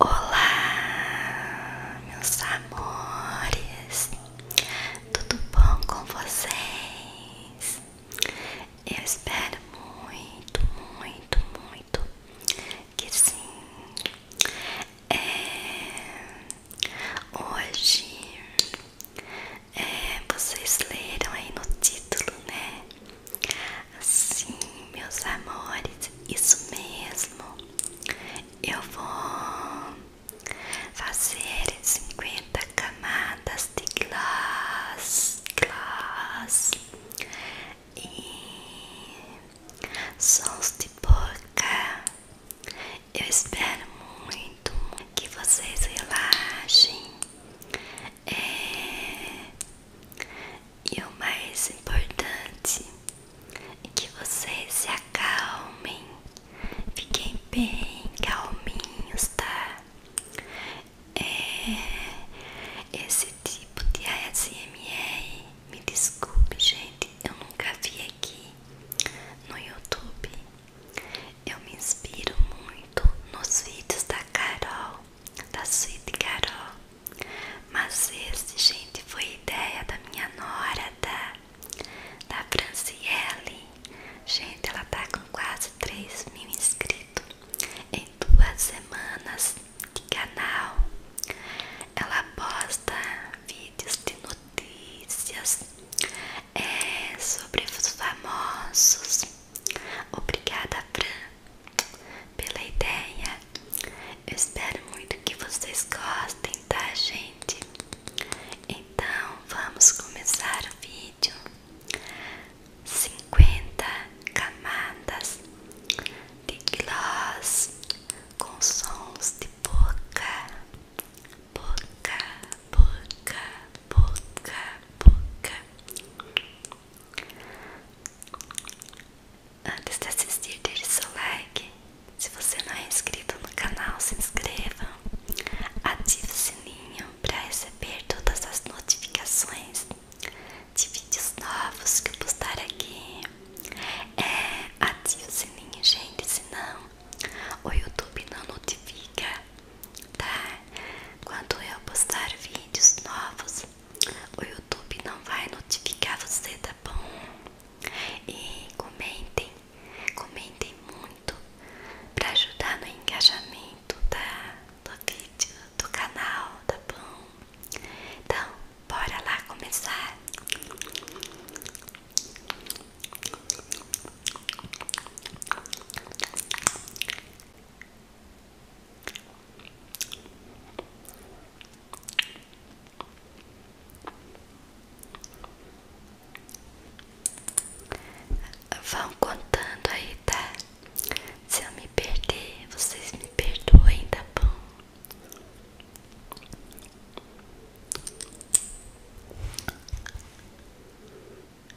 Olá, meus amores, tudo bom com vocês? Eu espero muito, muito, muito que sim. É... Hoje é, vocês leram aí no título, né? sim meus amores, isso mesmo. Eu vou fazer 50 camadas de glass, glass e sons de boca. Eu espero muito que vocês relaxem. É... E o mais importante que vocês se acalmem. Fiquem bem calminhos, tá? É... Esse tipo de ASMR, me desculpe, gente, eu nunca vi aqui no YouTube. Eu me inspiro muito nos vídeos da Carol, da Sweet Carol. Mas esse, gente, foi ideia da minha nora, da, da Franciele. Gente, ela tá com quase 3 mil inscritos em duas semanas de canal. Ela posta vídeos de notícias, é, sobre os famosos. Obrigada, Fran, pela ideia. Eu espero muito que vocês gostem, tá, gente? Então vamos começar o vídeo. 50 camadas de gloss com sons de boca, boca, boca, boca, boca. Antes de assistir, deixe seu like. Se você não é inscrito no canal, se inscreva. Ative o sininho para receber todas as notificações de vídeos novos que eu postar aqui. É, ative o sininho, gente, senão o YouTube não notifica tá? Quando eu postar vídeos novos, o YouTube não vai notificar você, tá bom? E comentem, comentem muito para ajudar no engajamento da, tá? do vídeo, do canal, tá bom? Então, bora lá começar. Vão contando aí, tá? Se eu me perder, vocês me perdoem, tá bom?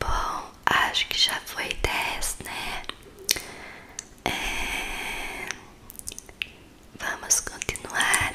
Bom, acho que já foi dez né? É... Vamos continuar.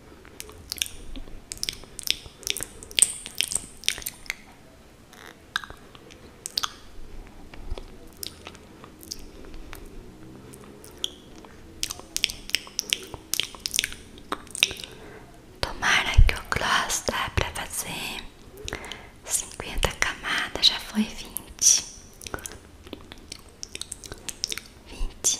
Tomara que o gloss dá para fazer cinquenta camadas, já foi vinte vinte,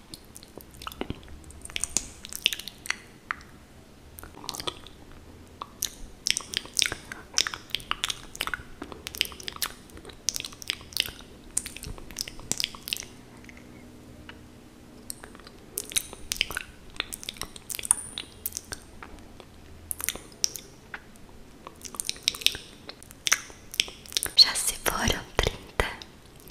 Já se foram trinta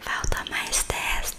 Falta mais testa.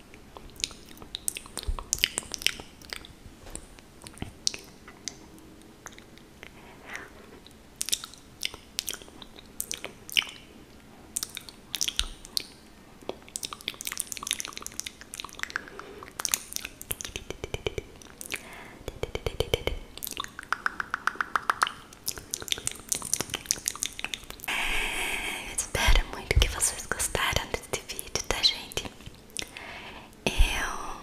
Espero muito que vocês gostaram deste vídeo, tá gente? Eu,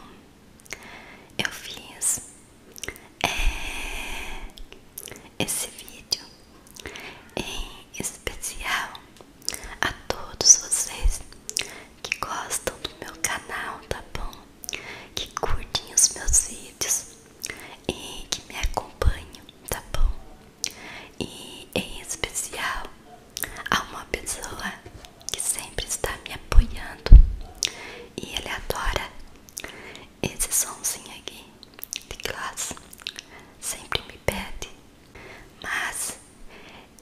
eu fiz é, esse vídeo em especial a todos vocês que gostam do meu canal, tá bom? Que curtem os meus vídeos e que me acompanham, tá bom? e em especial a uma pessoa que sempre está me apoiando e ele adora esse somzinho aqui de classe sempre me pede mas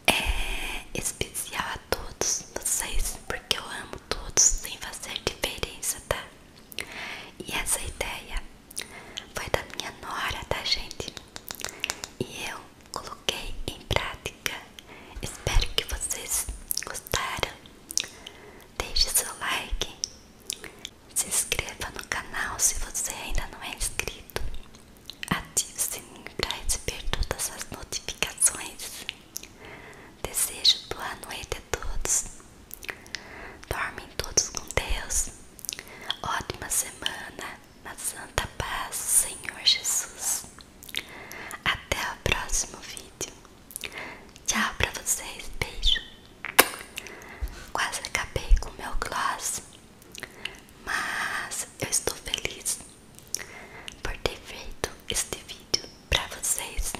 é especial a todos vocês porque eu amo todos sem fazer diferença tá e essa ideia foi da minha nora, tá, gente? E eu coloquei em prática. Espero que vocês gostaram. Deixe seu like. Se inscreva no canal se você ainda não é inscrito. Ative o sininho para receber todas as notificações. Desejo boa noite a todos. Dormem todos com Deus. Ótima semana na santa paz Senhor Jesus. Até o próximo vídeo. Tchau pra vocês, beijo. Quase acabei com meu gloss, mas eu estou feliz por ter feito este vídeo pra vocês.